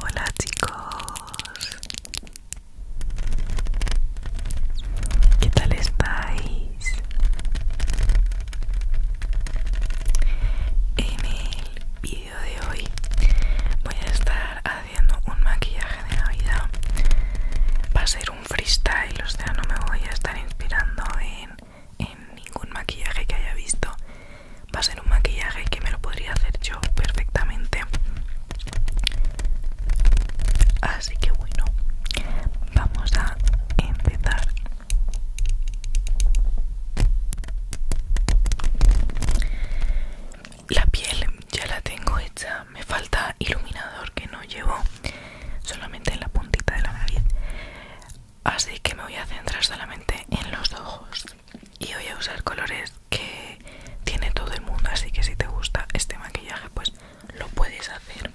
Hola chicos, ¿qué tal estáis? En el vídeo de hoy voy a estar haciendo un maquillaje de Navidad. Va a ser un freestyle, o sea, no me voy a estar inspirando en en ningún maquillaje que haya visto va a ser un maquillaje que me lo podría hacer yo perfectamente así que bueno vamos a empezar la piel ya la tengo hecha me falta iluminador que no llevo solamente en la puntita de la nariz así que me voy a centrar solamente en los ojos y voy a usar colores que tiene todo el mundo así que si te gusta este maquillaje pues lo puedes hacer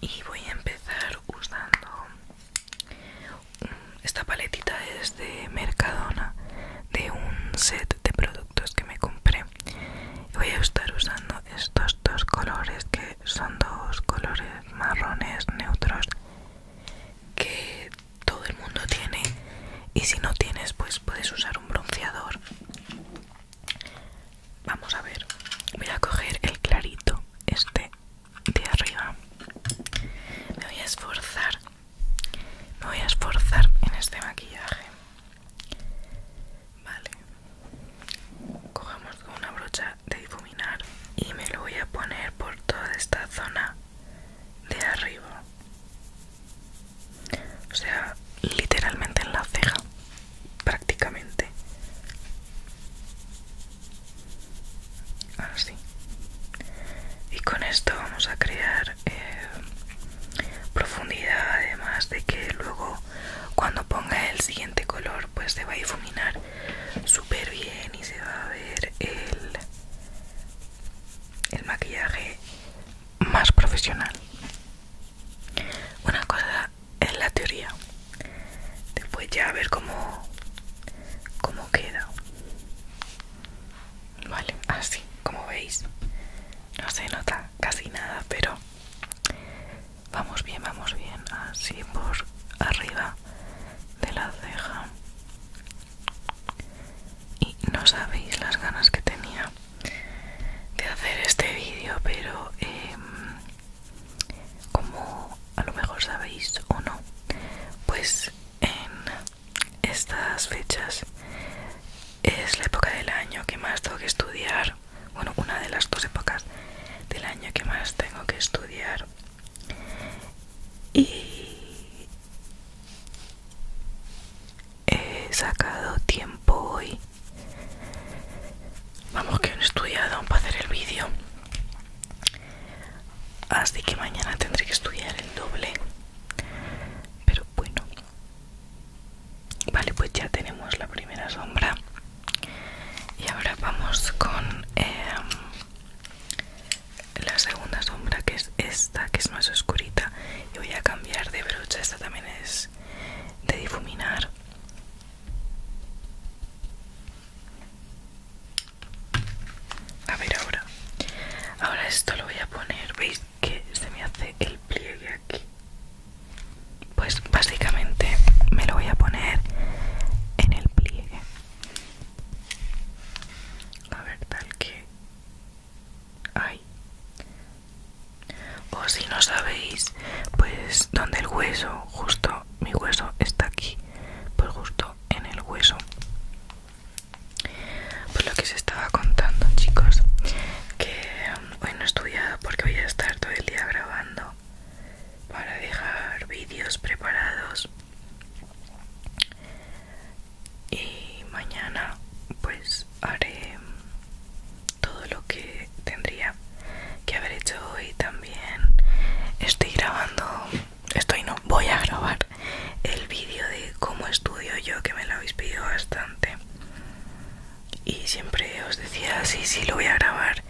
y voy a empezar usando esta paletita es de Mercadona de un set de productos que me compré voy a estar usando estos dos colores que son dos colores marrones neutros que todo el mundo tiene y si no tienes pues puedes usar un bronceador vamos a ver voy a coger el clarito este de arriba me voy a esforzar me voy a esforzar en este maquillaje. Vale. Cogemos una brocha de difuminar y me lo voy a poner por toda esta zona de arriba. O sea, literalmente en la ceja, prácticamente. Así Y con esto vamos a crear eh, profundidad además de que luego cuando ponga el siguiente color pues se va a difuminar súper bien y se va a ver el, el maquillaje más profesional una cosa en la teoría después ya a ver cómo, cómo queda Vale, así, como veis, no se nota casi nada, pero vamos bien, vamos bien, así por arriba de la ceja. Y no sabéis las ganas que tenía de hacer este vídeo, pero em, como a lo mejor sabéis o no, pues en estas fechas es la época del año que más tengo que estudiar. Bueno, una de las dos épocas del año que más tengo que estudiar. Y he sacado tiempo hoy. Vamos que he estudiado para hacer el vídeo. Así que mañana tendré que estudiar el doble. Pero bueno, Vale, pues ya tenemos la primera sombra. Y ahora vamos con em, la segunda sombra, que es esta, que es más oscurita. Y voy a cambiar de brocha, esta también es de difuminar. A ver ahora. Ahora esto lo voy a poner, ¿veis? que se me hace el pliegue aquí pues básicamente me lo voy a poner en el pliegue a ver tal que hay o si no sabéis pues donde el hueso justo mi hueso está aquí pues justo en el hueso por pues lo que se estaba contando, chicos, que mm, hoy no he estudiado porque voy a estar todo el día grabando para dejar vídeos preparados. Y mañana pues haré mm, todo lo que tendría que haber hecho hoy también. Estoy grabando, estoy no, voy a grabar el vídeo de cómo estudio yo, que me lo habéis pedido bastante. Y siempre os decía, sí, sí, lo voy a grabar.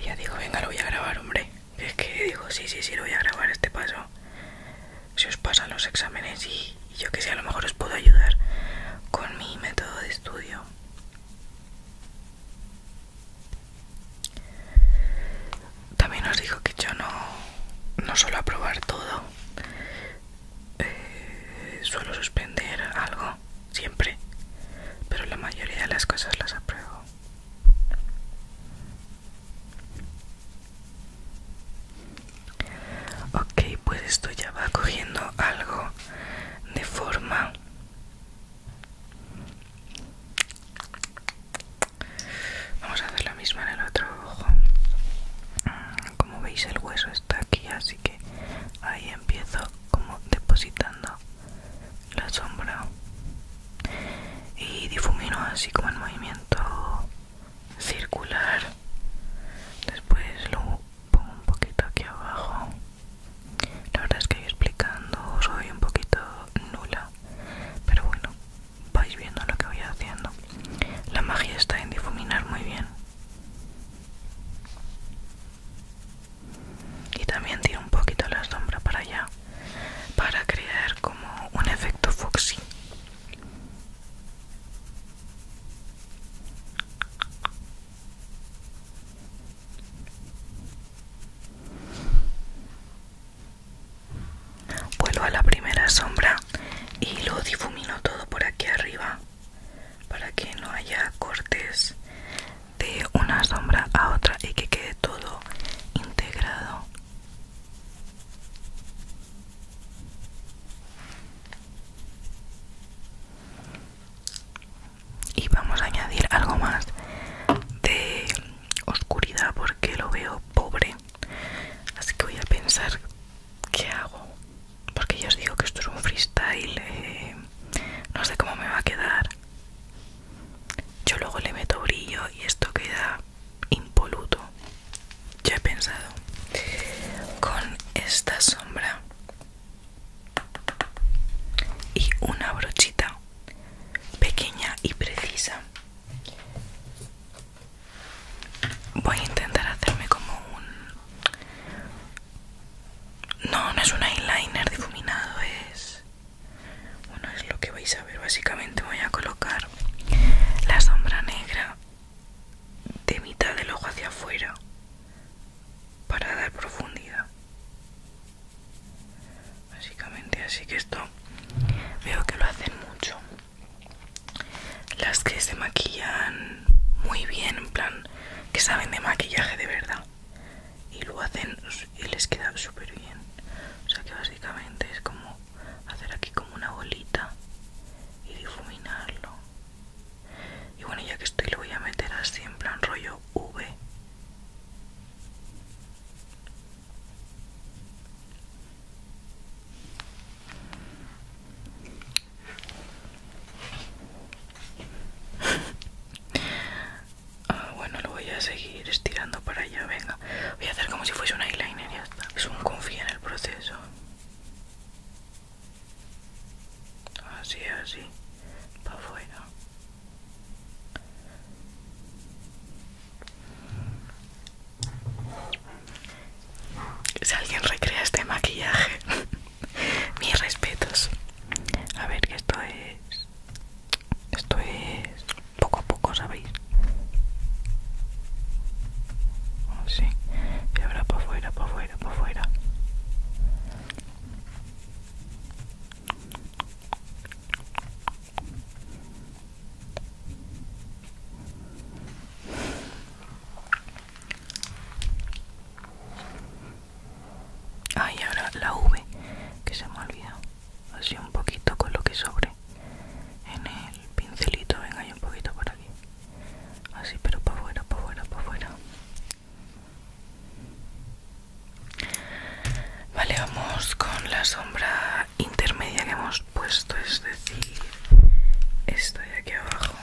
Y ya digo, venga, lo voy a grabar, hombre. es que digo, sí, sí, sí, lo voy a grabar este paso. Si os pasan los exámenes y, yo que sé, a lo mejor os puedo ayudar con mi método de estudio. También os dijo que yo no, no suelo aprobar todo, eh, suelo suspender algo siempre, pero la mayoría de las cosas las apruebo. Ok, pues esto ya va cogiendo algo de forma. Vamos a hacer la misma en el otro ojo como veis el hueso está aquí así que ahí empiezo como depositando la sombra y difumino así como el movimiento circular después lo pongo un poquito aquí abajo la verdad es que explicando soy un poquito nula pero bueno vais viendo lo que voy haciendo. La magia está en difuminar muy bien. Y también tiro un poquito la sombra para allá para crear como un efecto foxy. Vuelvo a la primera sombra y lo difumino todo por aquí arriba para que no haya cortes de una sombra a otra y que quede todo integrado. Y vamos a añadir algo más de oscuridad porque lo veo pobre Así que voy a pensar qué hago. Porque ya os digo que esto es un freestyle. Eh, no sé cómo me va a quedar. Yo luego le meto brillo y esto queda impoluto. Yo he pensado con esta sombra y una brochita pequeña y precisa Voy a intentar hacerme como un... No, no es un eyeliner difuminado, es... Bueno, es lo que vais a ver. Básicamente voy a colocar la sombra negra de mitad del ojo hacia afuera para dar profundidad. Básicamente así que esto veo que lo hacen mucho las que se maquillan muy bien, en plan, que saben de maquillaje de verdad y lo hacen y les queda súper bien. O sea que básicamente es como hacer aquí como una bolita y difuminarlo. Y bueno, ya que estoy lo voy a meter así en plan rollo V ah, bueno, lo voy a seguir estirando para allá, venga. Voy a hacer como si fuese un eyeliner y ya está. Es un confía en el proceso. Así, así. Para afuera. Si alguien recrea este maquillaje, mis respetos. A ver, que esto es. Esto es. poco a poco, ¿sabéis? Oh, sí, Y ahora para afuera, para afuera, para afuera. Ay, ahora la V que se me ha olvidado. Así un poquito con lo que sobre en el pincelito. Venga, y un poquito por aquí. Así, pero para afuera, para afuera, para afuera. Vale, vamos con la sombra intermedia que hemos puesto, es decir, esto de aquí abajo.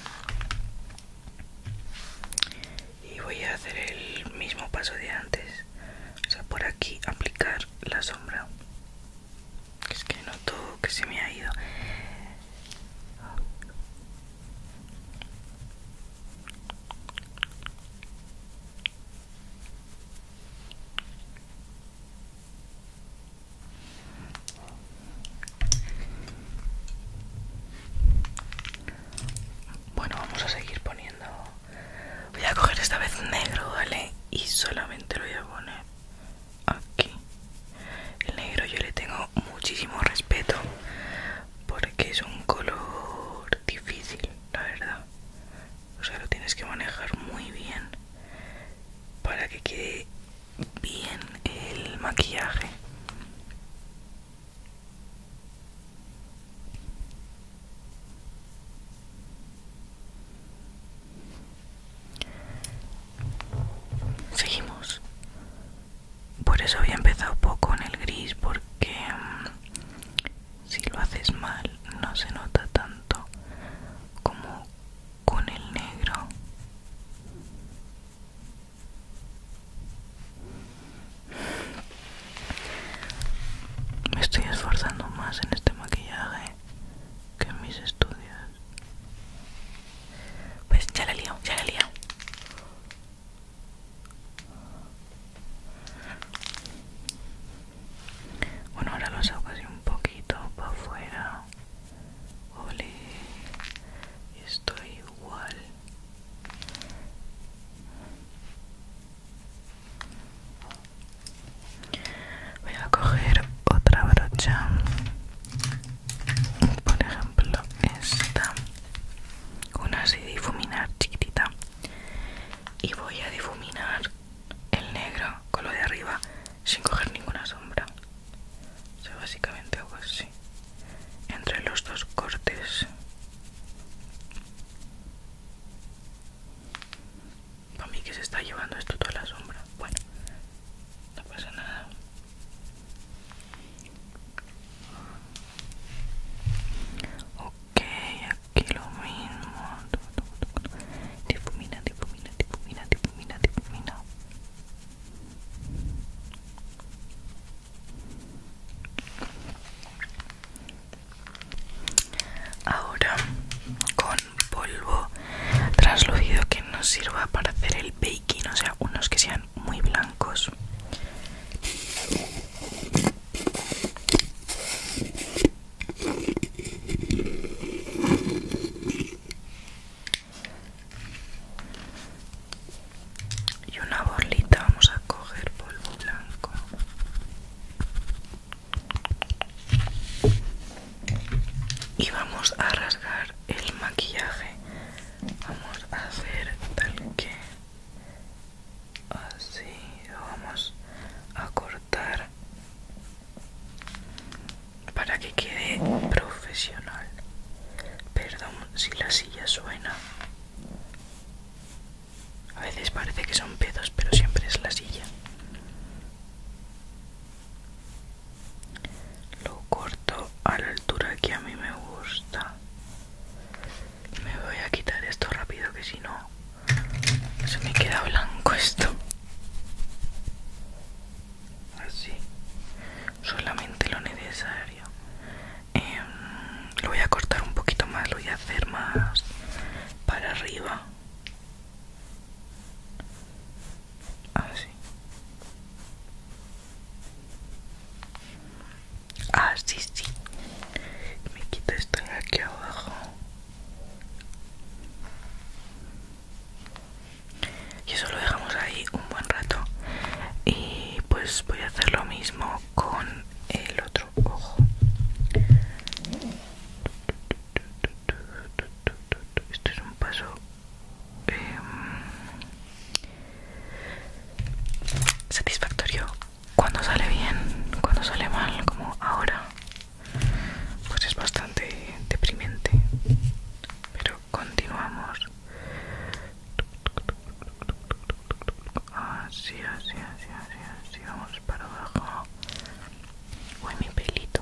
Y voy a hacer el mismo paso de antes, o sea, por aquí aplicar la sombra. Es que noto que se me ha ido. Bueno, vamos a seguir poniendo. Voy a coger esta vez negro, ¿vale? Y solamente lo voy a poner aquí. El negro yo le tengo muchísimo respeto porque es un color difícil, la verdad. O sea, lo tienes que manejar muy bien para que quede bien el maquillaje seguimos por eso había empezado poco en el gris porque mm, si lo haces mal no se nota tanto como con el negro me estoy esforzando más en este maquillaje que en mis estudios pues ya le lio, ya le lio bueno ahora lo saco así un poquito para afuera Ole, estoy igual. Voy a coger otra brocha, por ejemplo esta, una así difuminar chiquitita, y voy a difuminar el negro con lo de arriba sin coger ninguna sombra. O básicamente hago así. Entre los dos cortes. Para mí que se está llevando esto toda la sombra. Bueno, no pasa nada. Ok, aquí lo mismo. Difumina, difumina, difumina, difumina, Ahora con polvo translúcido que nos sirva para hacer el baking, o sea, unos que sean muy blancos y una borlita vamos a coger polvo blanco y vamos a rasgar el maquillaje vamos a hacer tal que así lo vamos a cortar para que quede profesional. Perdón si la silla suena. A veces parece que son pedos, pero siempre es la silla. Lo corto a la altura que a mí me gusta. Me voy a quitar esto rápido que si no se me queda blanco esto así solamente lo necesario em, lo voy a cortar un poquito más lo voy a hacer más para arriba así así ah, sí, Me quita esto aquí abajo y eso lo dejamos ahí un buen rato y pues voy a hacer lo mismo con el otro ojo Este es un paso em, satisfactorio cuando sale bien cuando sale mal como ahora pues es bastante deprimente pero continuamos así así así así vamos para abajo uy mi pelito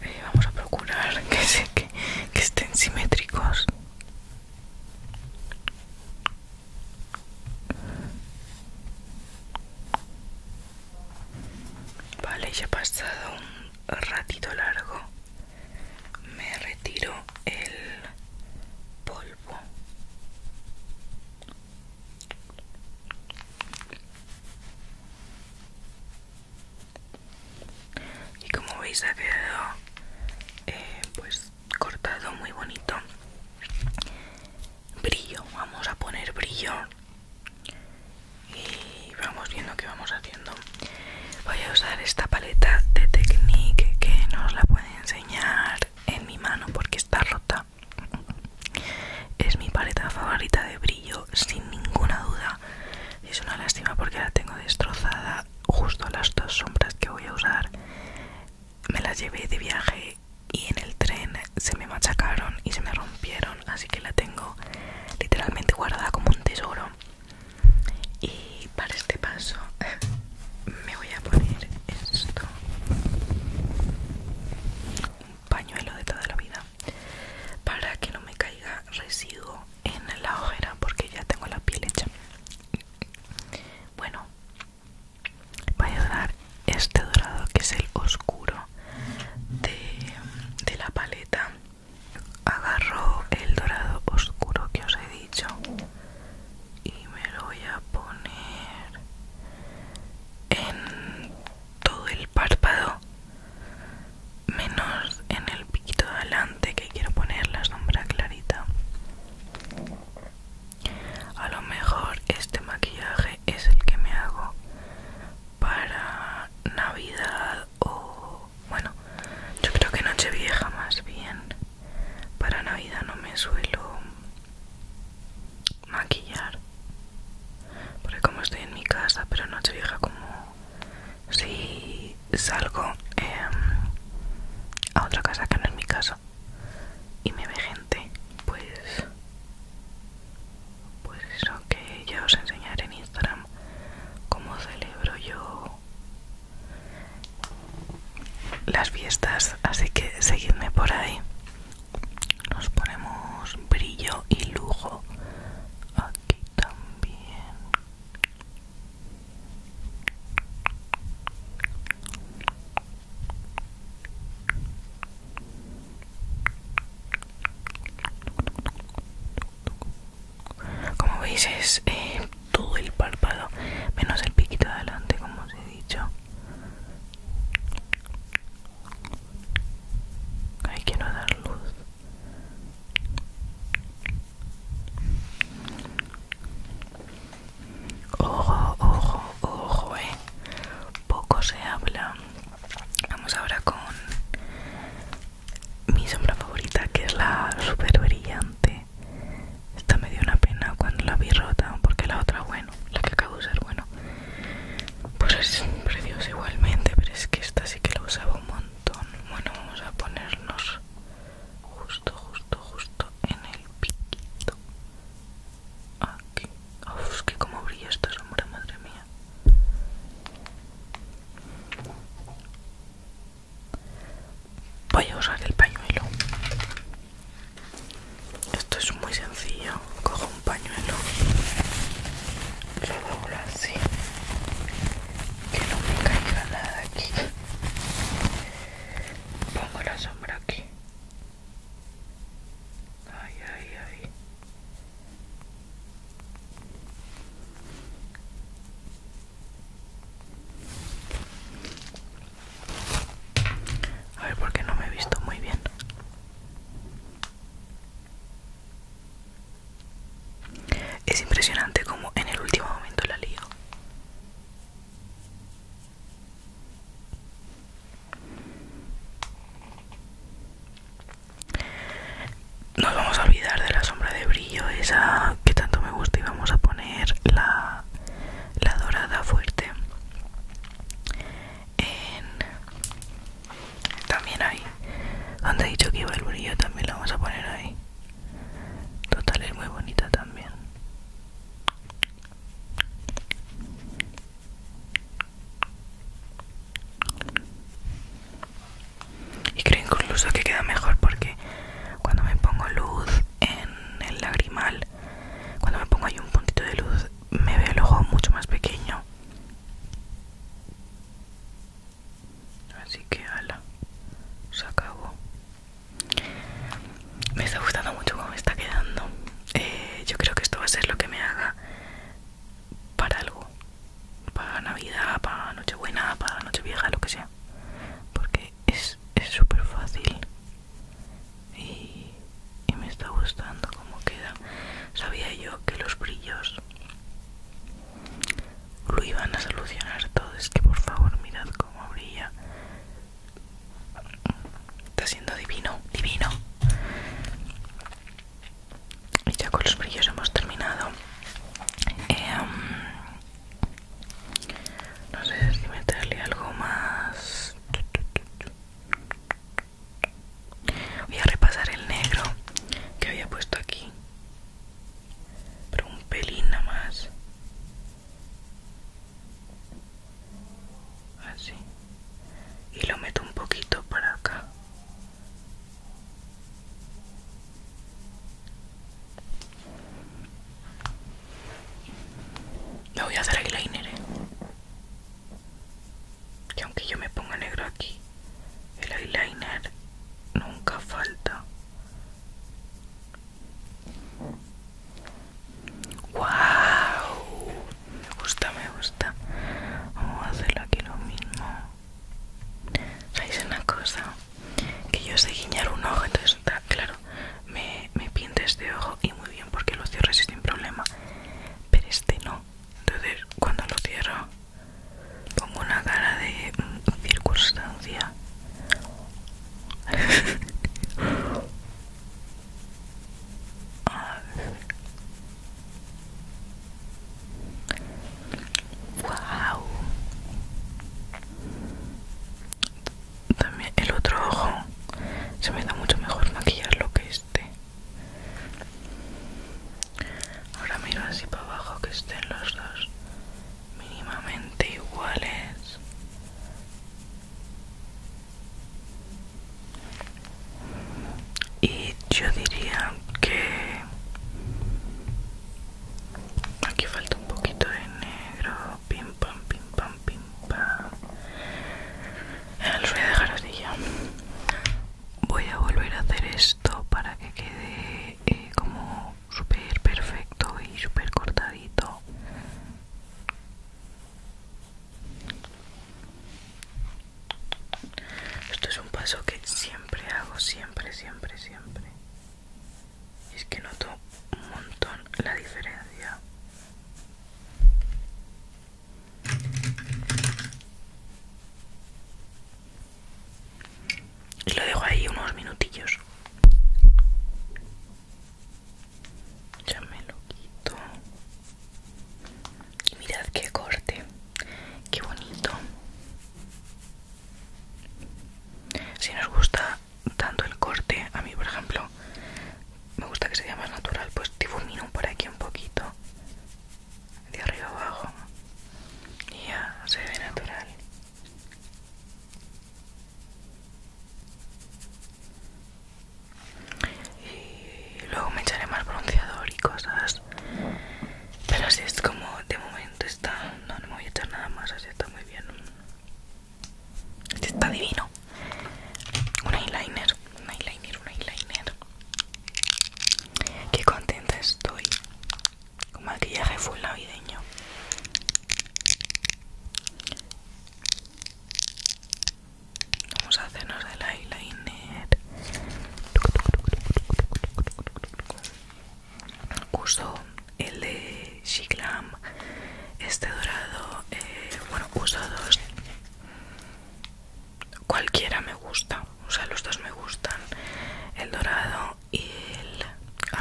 eh, vamos a procurar que, se, que estén simétricos Vale, ya ha pasado un ratito largo. Me retiro el polvo. Y como veis ha quedado eh, pues cortado muy bonito. Brillo, vamos a poner brillo y vamos viendo qué vamos haciendo voy a usar esta paleta de Technique que no os la puede enseñar en mi mano porque está rota es mi paleta favorita de brillo sin ninguna duda es una lástima porque la tengo destrozada justo las dos sombras que voy a usar me las llevé de viaje y en el tren se me machacaron y se me rompieron, así que la tengo literalmente guardada como un tesoro. Y para este paso me voy a poner esto. Un pañuelo de toda la vida. Para que no me caiga residuo en la ojera porque ya tengo la piel hecha. Bueno, Voy a dar este dorado que es el oscuro de, de la paleta agarro el dorado oscuro que os he dicho y me lo voy a poner en todo el párpado menos en el piquito de adelante que quiero poner la sombra clarita a lo mejor este maquillaje es el que me hago para navidad o bueno yo creo que noche vieja más bien para navidad no me suelo maquillar porque como estoy en mi casa pero noche vieja como si salgo em, a otra casa que no es mi casa y me ve gente pues pues eso que ya os enseñaré en Instagram cómo celebro yo las fiestas, así que seguidme por ahí. Nos ponemos brillo y lujo aquí también. Como veis es eh, todo el párpado, menos el piquito adelante, como os he dicho. Ahí quiero dar luz. Ojo, ojo, ojo, eh. Poco se habla. Vamos ahora con mi sombra favorita, que es la super brillante. Esta me dio una pena cuando la vi rota, porque la otra, bueno, la que acabo de usar, bueno, pues es preciosa igualmente, pero es que esta sí que la usaba un montón. Bueno, vamos a ponernos justo, justo, justo en el piquito. Aquí. Uf, es que como brilla esta sombra, madre mía. Voy a usar el pañuelo. Esto es muy sencillo. Cojo un pañuelo. Lo doblo así. Que no me caiga nada aquí. Pongo la sombra aquí. A ver, porque no me he visto muy bien. Es impresionante como en el último momento la lío. Nos vamos a olvidar de la sombra de brillo, esa que tanto me gusta, y vamos a poner la, la dorada fuerte. En, también ahí, donde he dicho que iba el brillo, también la vamos a poner ahí. Total, es muy bonita también. Y creo incluso que queda mejor porque cuando me pongo luz en el lagrimal, cuando me pongo ahí un puntito de luz, me veo el ojo mucho más pequeño. Así que ala, se acabó. Me está gustando mucho cómo está quedando. Eh, yo creo que esto va a ser lo que me haga para algo, para Navidad, para Nochebuena, para Nochevieja, lo que sea, porque es súper fácil y, y me está gustando cómo queda. Sabía yo que los brillos lo iban a solucionar todo, es que por favor mirad cómo brilla Está siendo divino, divino. Y ya con los brillos hemos terminado. Eh, um, no sé si meterle algo más. Voy a repasar el negro que había puesto aquí. Pero un pelín nada más así y lo meto un poquito para acá No voy a hacer eyeliner ¿eh? que aunque yo me ponga negro aquí el eyeliner nunca falta wow me gusta me gusta vamos a hacerlo aquí lo mismo sabéis una cosa que yo sé guiñar un ojo entonces está claro me, me pinta este ojo y muy bien porque lo cierro sin problema pero este no entonces cuando lo cierro pongo una cara de circunstancia Wow. También el otro ojo se me da mucho mejor maquillarlo que este. Ahora miro así para abajo que estén los dos mínimamente iguales y yo diría que aquí falta un poquito de negro pim pam pim pam pim pam a dejar así ya voy a volver a hacer esto para que quede eh, como súper perfecto y súper cortadito esto es un paso que siempre hago, siempre, siempre, siempre. Y es que noto un montón la diferencia. lo dejo ahí unos minutillos ya me lo quito y mirad qué corte qué bonito si nos gusta tanto el corte a mí por ejemplo me gusta que vea más natural pues difumino por aquí un poquito de arriba abajo y ya se ve natural y luego me echaré más bronceador y cosas pero así es como de momento está no, no me voy a echar nada más así está muy bien este está divino un eyeliner un eyeliner un eyeliner qué contenta estoy con maquillaje full navideño Vamos a hacernos el eyeliner. Uso el de Glam. este dorado. Eh, bueno, uso dos. Cualquiera me gusta, o sea, los dos me gustan: el dorado y el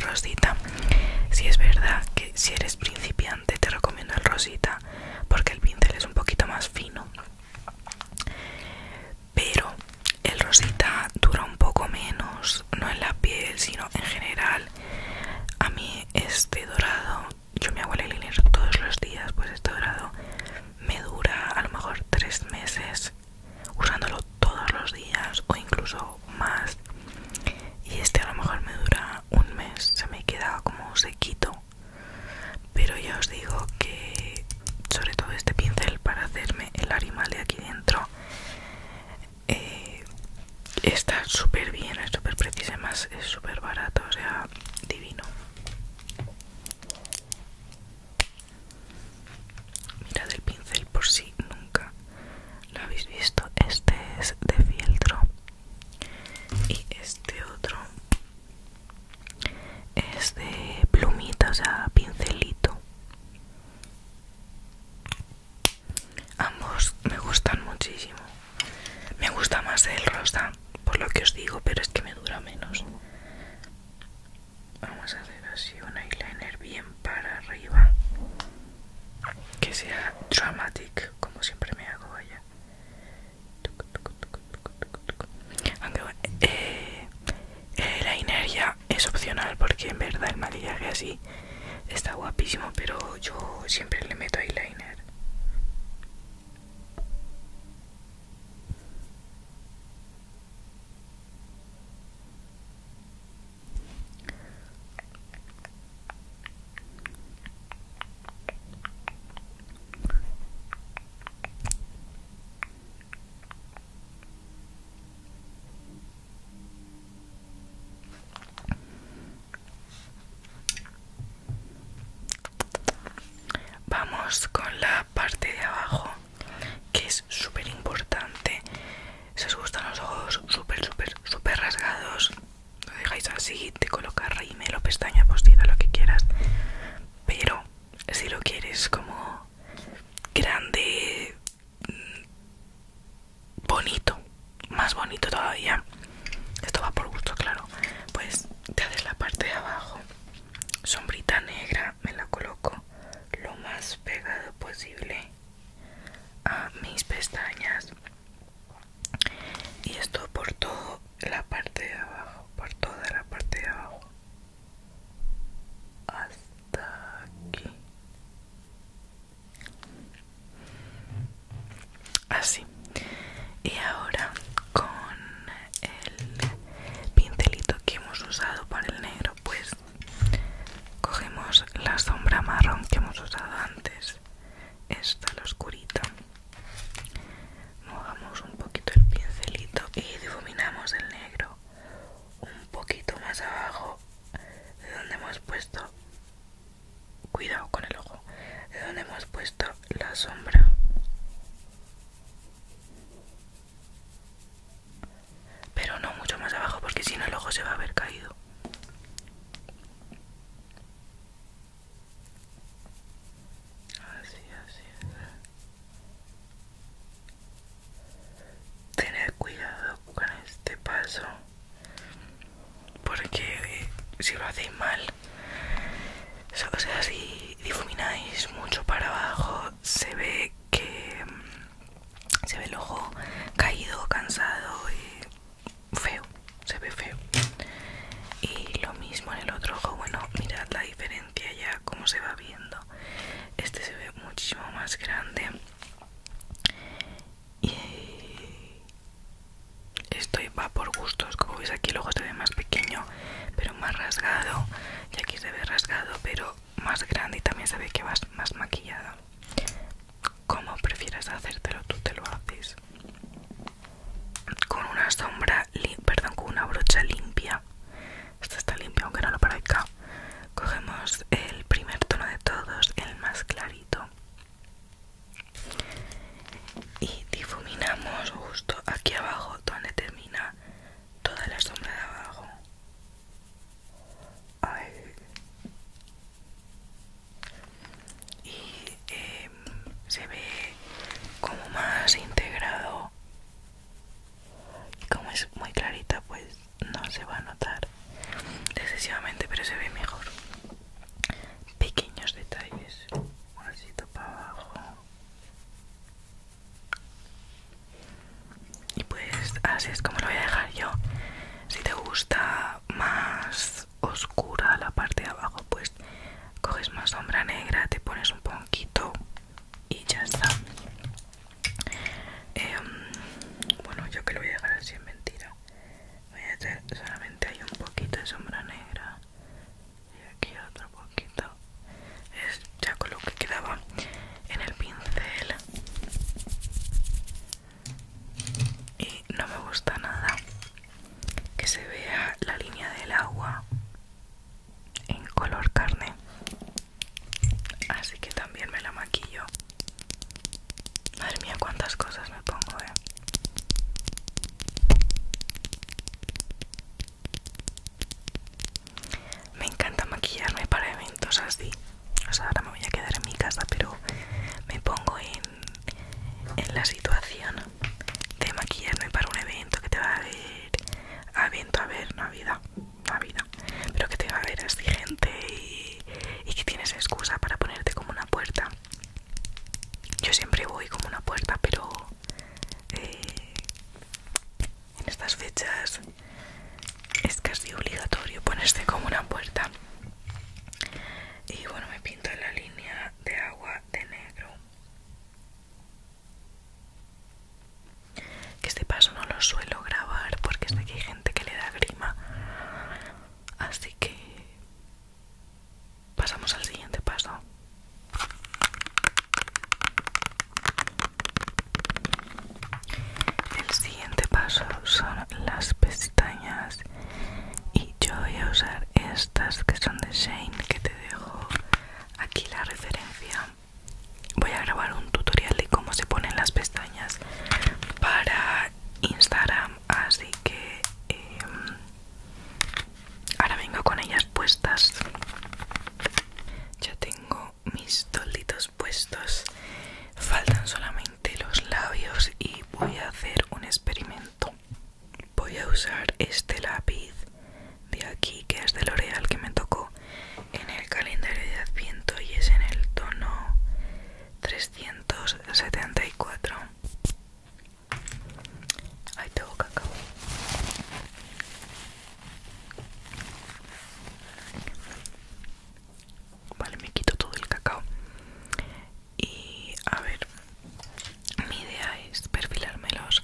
rosita. Si es verdad que si eres principiante, te recomiendo el rosita porque el pincel es un poquito más fino pero el rosita dura un poco menos no en la piel sino en general a mí este dorado yo me hago el eyeliner todos los días pues este dorado me dura a lo mejor tres meses usándolo todos los días o incluso más y este a lo mejor me dura un mes se me queda como sequito pero ya os digo que sobre todo este pincel para hacerme el animal de aquí dentro eh, está súper bien es súper preciso más es súper barato o sea divino mirad el pincel por si nunca lo habéis visto este es de fieltro y este otro es de plumita o sea pincelito ambos me gustan muchísimo me gusta más el rosa por lo que os digo pero es que me dura menos vamos a hacer así un eyeliner bien para arriba que sea dramatic como siempre me hago allá aunque bueno, eh, ya eh, es opcional porque en verdad el maquillaje así está guapísimo, pero yo siempre le meto eyeliner. Vamos con la parte de abajo, que es súper importante. Si os gustan los ojos súper, súper, súper rasgados, lo dejáis así, te coloca rímel o pestaña postida, lo que quieras. Pero si lo quieres como grande, mm, bonito, más bonito todavía, esto va por gusto, claro. Pues te haces la parte de abajo, sombrita negra, me la coloco lo más pegado posible a mis pestañas y esto por toda la parte de abajo por toda la parte de abajo hasta aquí así y ahora con el pincelito que hemos usado para el negro pues cogemos la sombra marrón que hemos usado antes esta la oscurita movamos un poquito el pincelito y difuminamos el negro un poquito más abajo de donde hemos puesto cuidado con el ojo de donde hemos puesto la sombra pero no mucho más abajo porque si no el ojo se va a haber caído Así, así así. Tened cuidado con este paso. Porque si lo hacéis mal, o sea, si difumináis mucho para abajo, se ve que se ve el ojo caído, cansado y feo, se ve feo. Y lo mismo en el otro ojo, bueno, mirad la diferencia ya, como se va viendo. Este se ve muchísimo más grande. Y esto va por gustos, como veis aquí, luego se ve más pequeño, pero más rasgado. Y aquí se ve rasgado, pero más grande y también se ve que vas más maquillado Como prefieras hacértelo, tú te lo haces con una sombra, perdón, con una brocha limpia. Esta está limpia, aunque no lo acá Cogemos el primer tono de todos, el más clarito. Y difuminamos justo aquí abajo, donde termina toda la sombra de abajo y em, se ve como más integrado y como es muy clarita pues no se va a notar excesivamente pero se ve mejor pequeños detalles un osito para abajo y pues así es como lo voy a dejar yo si te gusta más oscura la parte de abajo pues coges más sombra negra te pones un poquito y ya está em, bueno yo que lo voy a dejar así es mentira voy solamente hay un poquito de sombra negra y aquí otro poquito es ya con lo que quedaba en el pincel y no me gusta nada que se vea la línea del agua en color carne así que también me la maquillo madre mía cuántas cosas me pongo eh. me encanta maquillarme para eventos así o sea ahora me voy a quedar en mi casa pero me pongo en en la situación de maquillarme para un evento que te va a ver a evento a ver navidad navidad pero que te va a ver exigente y, que tienes excusa para ponerte como una puerta yo siempre voy como una puerta pero eh, en estas fechas es casi obligatorio ponerte como una puerta y bueno me pinto en la línea de agua de negro. Que este paso no lo suelo grabar porque sé que hay gente que le da grima. Así que pasamos al siguiente paso. El siguiente paso son las pestañas y yo voy a usar estas que son de Shane que te dejo aquí la referencia voy a grabar un tutorial de cómo se ponen las pestañas para Instagram así que em, ahora vengo con ellas puestas ya tengo mis tolditos puestos faltan solamente los labios y voy a hacer un experimento voy a usar este lápiz de aquí que es de L'Oreal que me tocó en el calendario de Adviento y es en el tono 374. Ahí tengo cacao. Vale, me quito todo el cacao y a ver mi idea es perfilármelos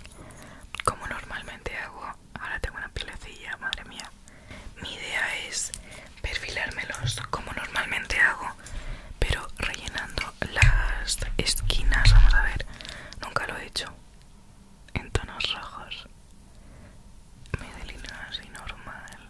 como normalmente hago ahora tengo una pilecilla madre mía mi idea es perfilármelos como normalmente hago pero rellenando las esquinas vamos a ver nunca lo he hecho en tonos rojos me delineo así normal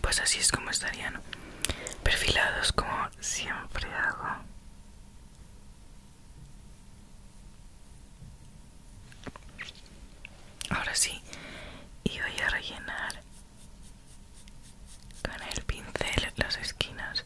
Pues así es como estarían perfilados como siempre hago. Ahora sí, y voy a rellenar con el pincel las esquinas.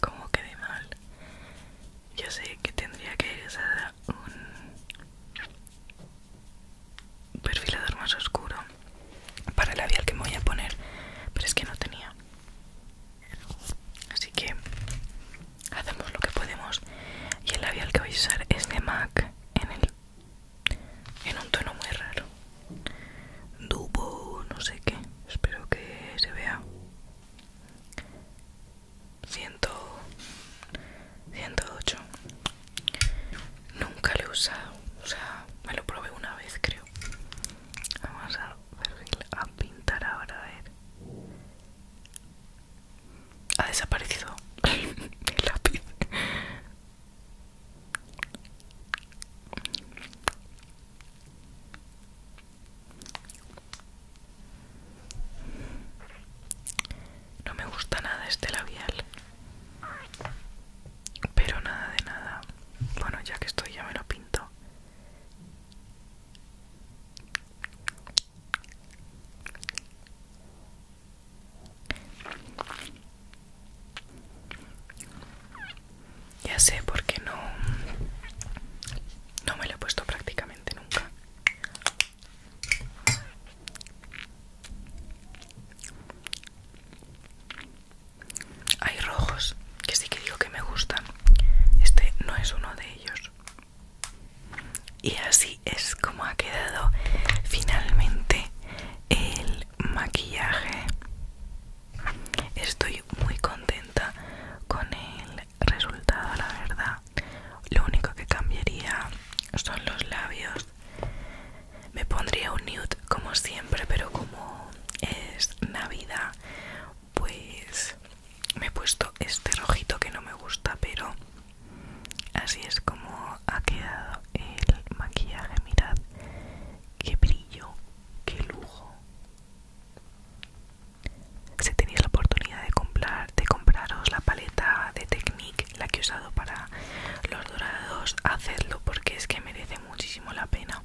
Como quedé mal. Yo sé que tendría que usar un perfilador más oscuro para el labial que me voy a poner, pero es que no tenía. Así que hacemos lo que podemos. Y el labial que voy a usar es de MAC en, el, en un tono muy raro. Dubo, no sé qué. Espero que se vea. Ciento... 108. Nunca lo he usado. O sea, me lo probé una vez, creo. Vamos a a pintar ahora, a ver. Ha desaparecido el lápiz. No me gusta nada este labial. Pero nada de nada. Bueno, ya que estoy ya me lo pinto. Ya sé por qué no no me lo he puesto prácticamente nunca. Hay rojos que sí que digo que me gustan. Este no es uno de ellos y así es como ha quedado finalmente el maquillaje estoy muy contenta con el resultado la verdad lo único que cambiaría son los labios me pondría un nude como siempre pero como es navidad pues me he puesto este rojito que no me gusta pero así es como ha quedado el maquillaje mirad qué brillo qué lujo si tenéis la oportunidad de comprar de compraros la paleta de Technique la que he usado para los dorados hacedlo porque es que merece muchísimo la pena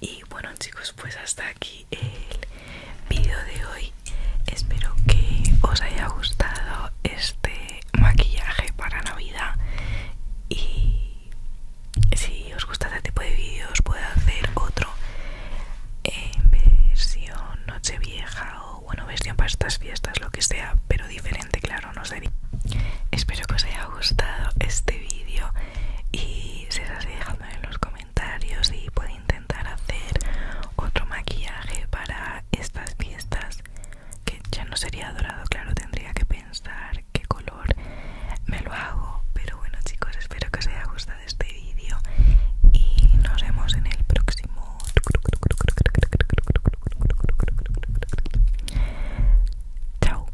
y bueno chicos pues hasta aquí el vídeo de hoy espero que os haya gustado este maquillaje para navidad y si os gusta este tipo de vídeos puedo hacer otro en versión noche vieja o bueno versión para estas fiestas lo que sea pero diferente claro no sé espero que os haya gustado este vídeo y si os en los comentarios y puedo intentar hacer otro maquillaje para estas fiestas que ya no sería dorado claro tendría que pensar qué color me lo hago pero bueno chicos espero que os haya gustado este vídeo y nos vemos en el próximo chao